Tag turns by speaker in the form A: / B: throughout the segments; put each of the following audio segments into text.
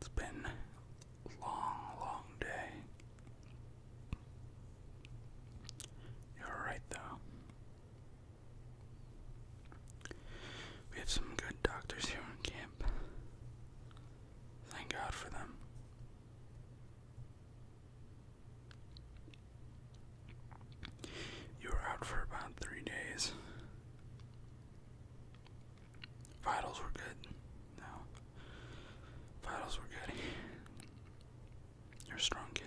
A: It's been a long, long day. You're alright, though. We have some good doctors here in camp. Thank God for them. You were out for about three days. Vitals were good. No. Vitals were good. You're a strong kid.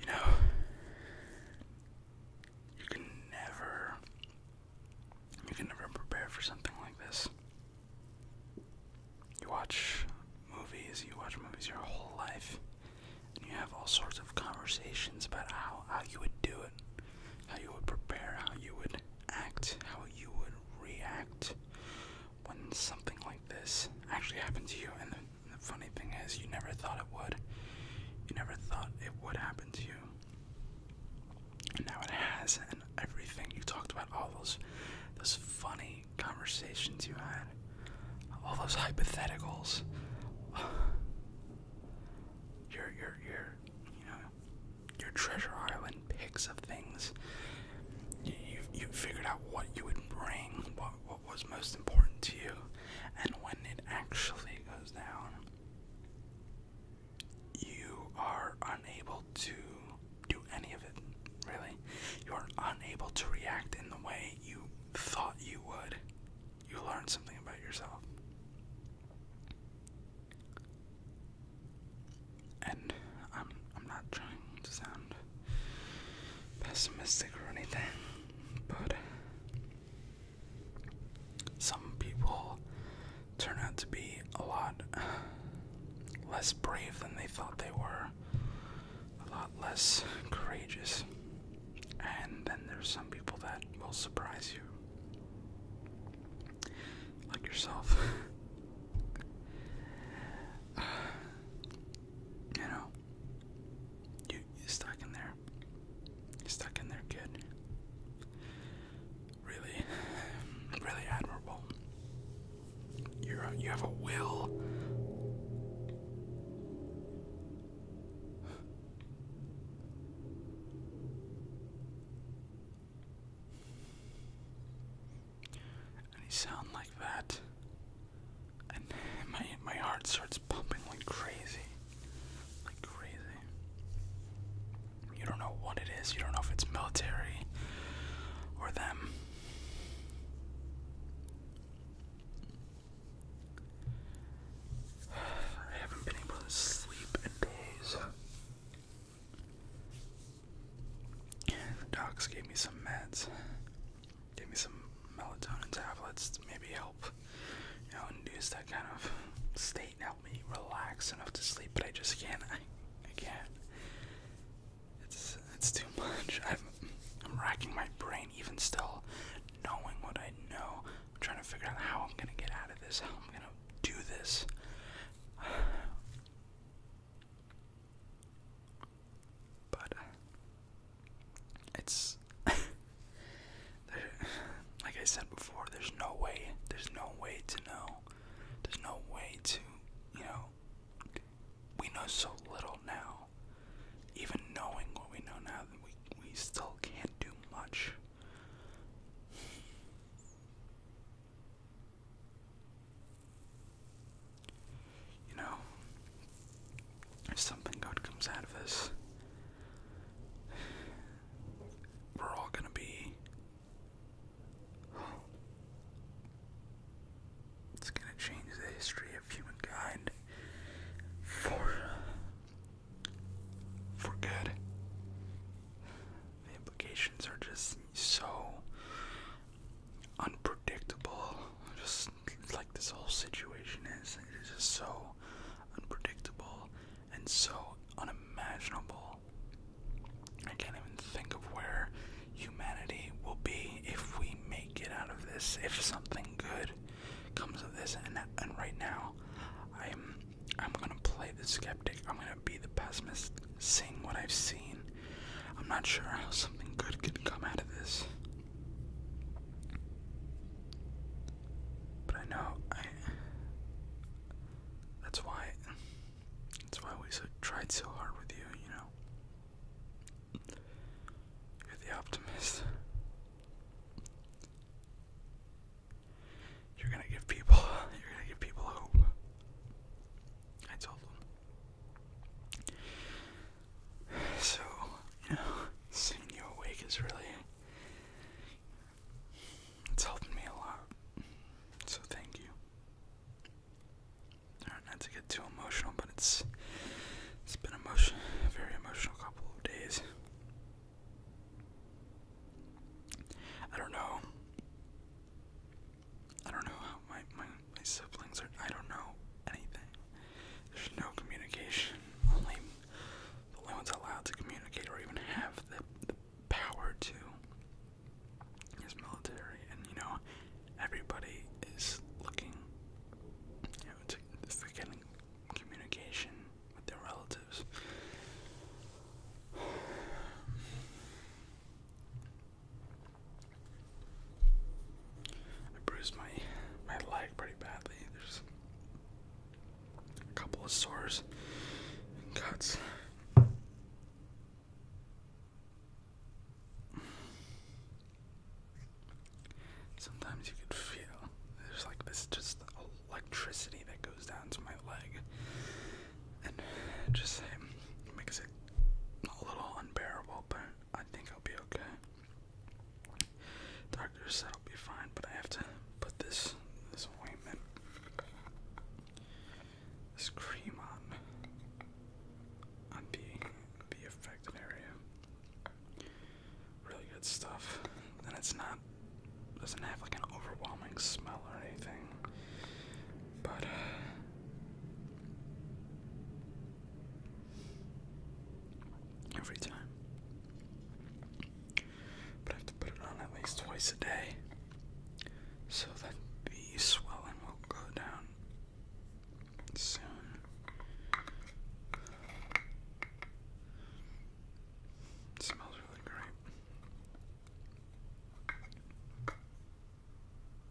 A: You know, you can never you can never prepare for something like this. You watch movies, you watch movies your whole life, and you have all sorts of conversations about how, how you would do it, how you would prepare, how you would act, how you would react when something like this actually happens to you. and the funny thing is, you never thought it would. You never thought it would happen to you. And now it has, and everything you talked about, all those, those funny conversations you had, all those hypotheticals. Your, your, your, you know, your treasure island picks of things. You, you, you figured out what you would bring, what, what was most important to you, and when it actually goes down, you are unable to do any of it, really. You are unable to react in the way you thought you would. You learn something about yourself. And I'm I'm not trying to sound pessimistic or anything, but some people turn out to be a lot less brave than they thought they were, a lot less courageous, and then there's some people that will surprise you, like yourself. you know, you, you stuck in there you stuck in there, kid. Really, really admirable. You're uh, you have a will. And sound like that, and my my heart starts pumping like crazy. Like crazy. You don't know what it is. You don't know if it's military or them. I haven't been able to sleep in days. docs gave me some meds, gave me some melatonin tablets to maybe help of, you know, induce that kind of state and help me relax enough to sleep. But I just can't. I, can't. It's it's too much. I'm I'm racking my brain even still, knowing what I know. I'm trying to figure out how I'm gonna get out of this. How I'm gonna do this. But uh, it's like I said before, there's no way, there's no way to know. There's no way to, you know, we know so little now. Even knowing what we know now, we, we still can't do much. You know, if something good comes out of this, we're all gonna be. It's gonna change the history of humankind for for good. The implications are just so unpredictable. Just like this whole situation is, it is so unpredictable and so unimaginable. I can't even think of where humanity will be if we make it out of this, if something good comes of this. And, right now, I'm, I'm gonna play the skeptic, I'm gonna be the pessimist, seeing what I've seen. I'm not sure how something good can come out of this. But I know That's why. That's why we tried so hard with you, you know. You're the optimist. You're gonna give people. You're gonna give people hope. I told them. So, you know, seeing you awake is really. It's helping me a lot. So, thank you. not to get too emotional, but it's. It's been a very emotional couple of days. I don't know. I don't know how my, my, my siblings are. I don't know anything. There's no communication, only the only ones allowed to communicate or even have the, power to is military, and you know, everybody is looking, you know, to, for communication with their relatives. I bruised my my leg pretty badly. There's a couple of sores and cuts. Sometimes you can feel there's like this just electricity that goes down to my leg and just it makes it a little unbearable, but I think I'll be okay. Doctor said I'll be fine, but I have to put this this cream on on the the affected area. Really good stuff, and it's not doesn't have like an overwhelming smell or anything, but. Uh, every time. But I have to put it on at least twice a day so that the swelling will go down soon. smells really great.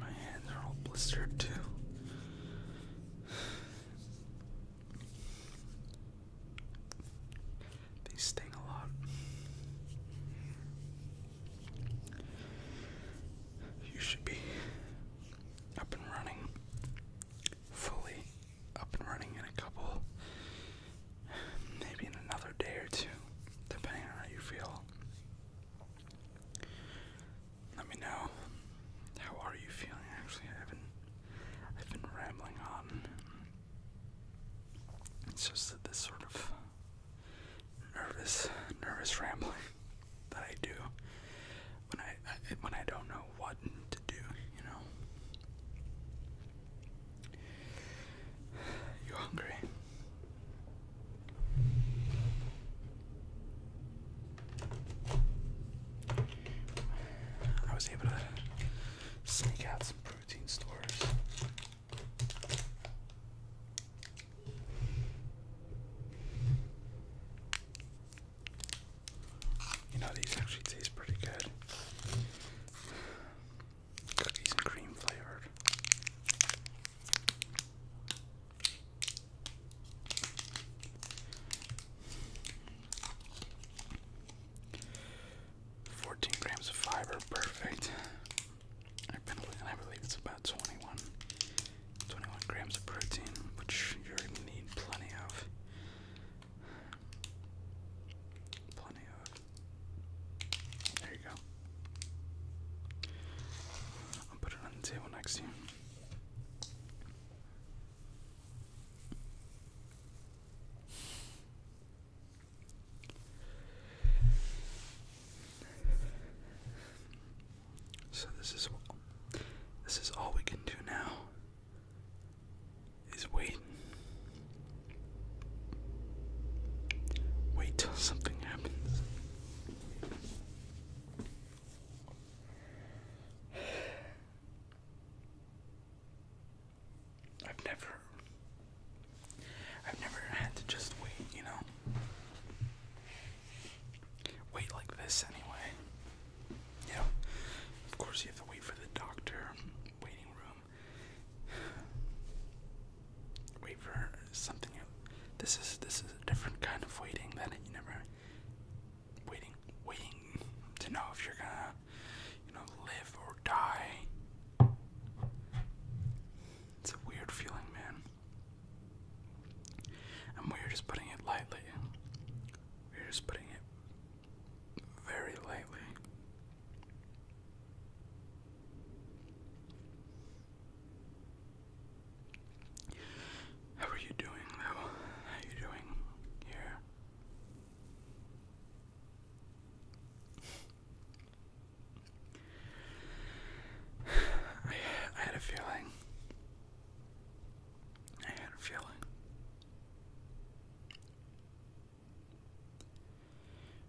A: My hands are all blistered too. They sting a lot. You should be up and running fully up and running in a couple, maybe in another day or two, depending on how you feel. Let me know how are you feeling. Actually, I've been I've been rambling on. It's just this sort of nervous, nervous rambling that I do when I, I when I don't know what to do. You know. You are hungry? I was able to sneak out some protein stores. You know, these actually taste pretty good. Cookies and cream flavored. Fourteen grams of fiber, perfect. i believe it's about 21, 21 grams of protein, which you already need plenty of. Plenty of. There you go. I'll put it on the table next to you. So this is this is all we can do now is waiting. Wait till something happens. I've never I've never had to just wait, you know. Wait like this anyway. Yeah. Of course, you have to wait for the doctor waiting room. Wait for something. This is this is a different kind of waiting that you never waiting waiting to know if you're gonna you know live or die. It's a weird feeling, man. And we're just putting it lightly. We're just putting it very lightly. How are you doing, though? How are you doing here? I, I had a feeling. I had a feeling.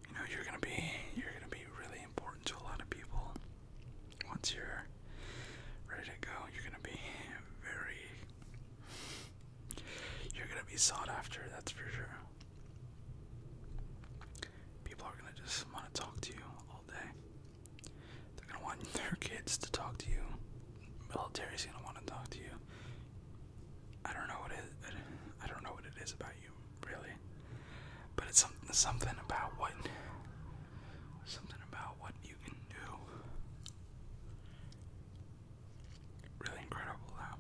A: You know you're gonna be you're gonna be really important to a lot of people. Once you're ready to go, you're gonna be very you're gonna be sought after, that's for sure. People are gonna just wanna talk to you all day. They're gonna want their kids to talk to you. Military's gonna want to talk to you. I don't know what it. I don't know what it is about you, really. But it's something. Something about what. Something about what you can do. Really incredible, though.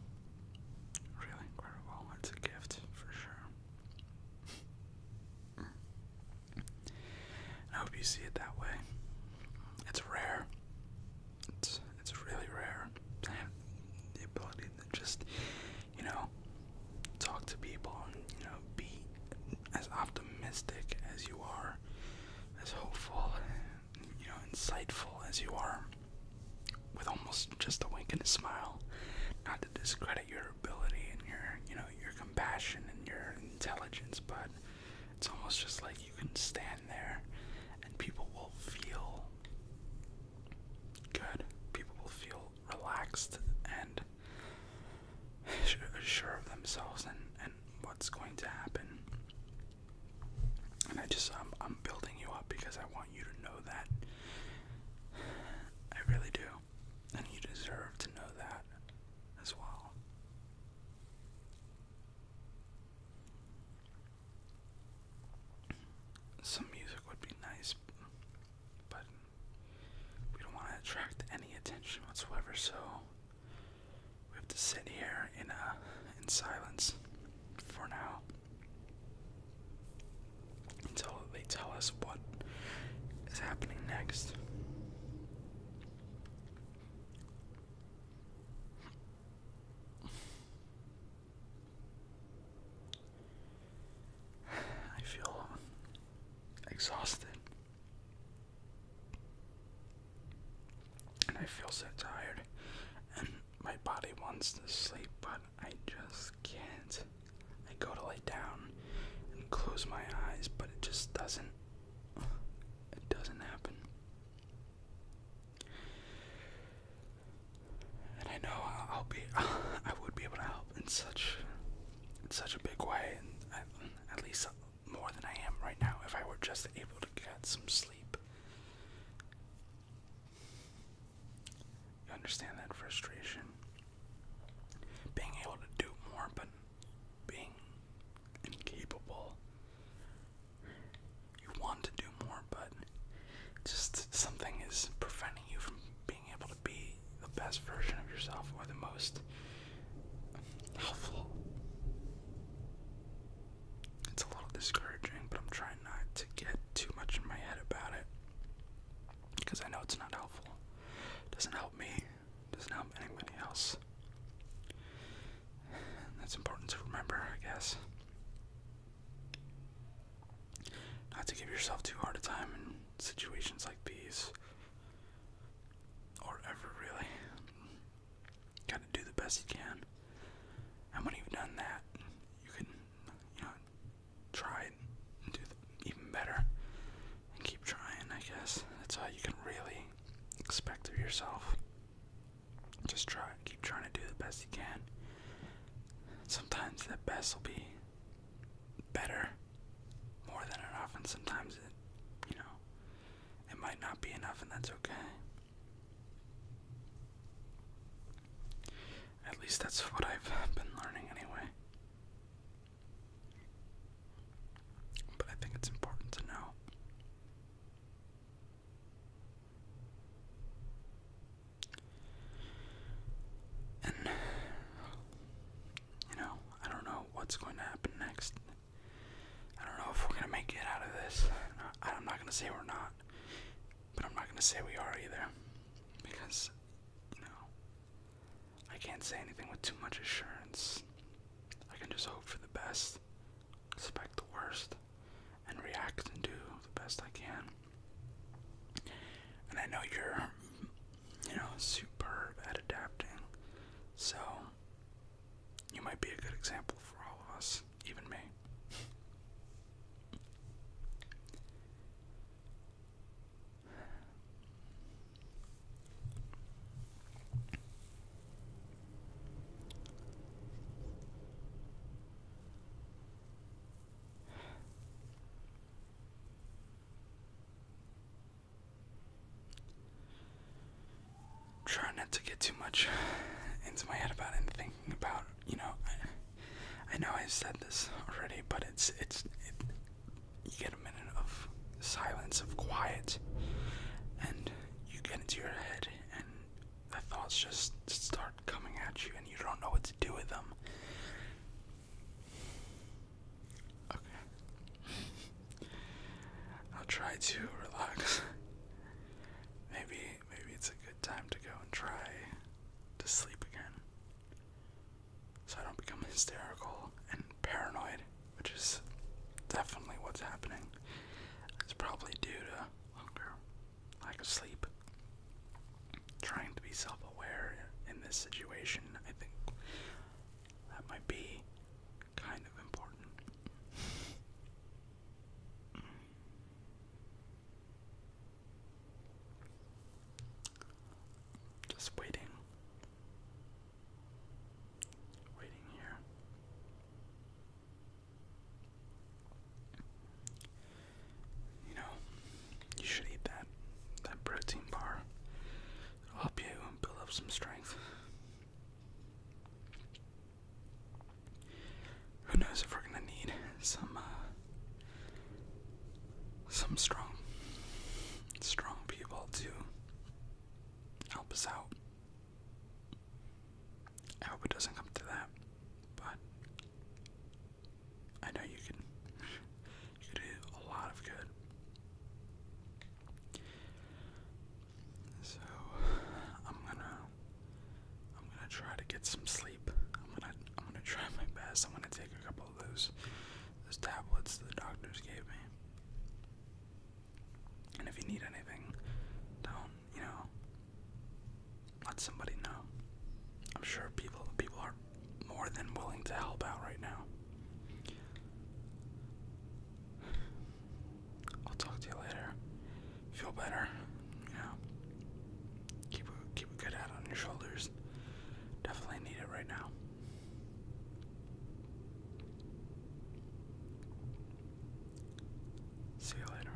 A: Really incredible. It's a gift for sure. I hope you see it that way. It's rare. It's it's really rare. I the ability to just, you know, talk to people and you know be as optimistic as you are, as hopeful, you know, insightful as you are, with almost just a wink and a smile. Not to discredit your ability and your, you know, your compassion and your intelligence, but it's almost just like you can stand there and people will feel good. People will feel relaxed and sure of themselves and, and what's going to happen. And I just, I'm, I'm building you up because I want you to know that. I really do. And you deserve to know that as well. Some music would be nice, but we don't want to attract any attention whatsoever, so we have to sit here in a uh, in silence for now until they tell us what is happening next. I feel exhausted. And I feel so tired, and my body wants to sleep, but I just can't. I go to lay down and close my eyes, but it just doesn't it doesn't happen. And I know I'll be I would be able to help in such such a big way and at least more than I am right now if I were just able to get some sleep. You understand that frustration? Being able to do more but being incapable. You want to do more, but just something is preventing you from being able to be the best version of yourself or the most helpful. It's a little discouraging, but I'm trying not to get too much in my head about it because I know it's not helpful. It doesn't help me doesn't help anybody else. that's important to remember, I guess. Not to give yourself too hard a time in situations like these, or ever really. Gotta do the best you can. And when you've done that, you can, you know, try it and do even better and keep trying, I guess. That's all you can really expect of yourself. Just try, keep trying to do the best you can. Sometimes that best will be better, more than enough, and sometimes you know, it might not be enough, and that's okay. At least that's what I've been learning anyway. But I think it's important to know. And, you know, I don't know what's going to happen next. I don't know if we're going to make it out of this. I'm not going to say we're not, but I'm not going to say we are either. Because, you know, I can't say anything with too much assurance. I can just hope for the best, expect the worst, and react and do the best I can. And I know you're, you know, superb at adapting, so you might be a good example for all of us, even me. I'm trying not to get too much into my head about it and thinking about, you know, I know I said this already, but it's it's it, you get a minute of silence of quiet, and you get into your head, and the thoughts just start coming at you, and you don't know what to do with them. Okay, I'll try to relax. maybe maybe it's a good time to go and try to sleep again so I don't become hysterical and paranoid, which is definitely what's happening. It's probably due to hunger, lack of sleep. Trying to be self aware in this situation, I think that might be kind of important. Just waiting. Waiting here. You know, you should eat that that protein bar. It'll help you build up some strength who knows if we're gonna need some uh, some strong strong people to help us out. I hope it doesn't come to that, but I know you can you can do a lot of good. So I'm gonna I'm gonna try to get some sleep. I'm gonna I'm gonna try my best. I'm gonna take a couple of those those tablets the doctors gave me. And if you need anything, don't you know let somebody know. I'm sure people people are more than willing to help out right now. I'll talk to you later feel better. You keep keep a good head on your shoulders. Definitely need it right now. See you later.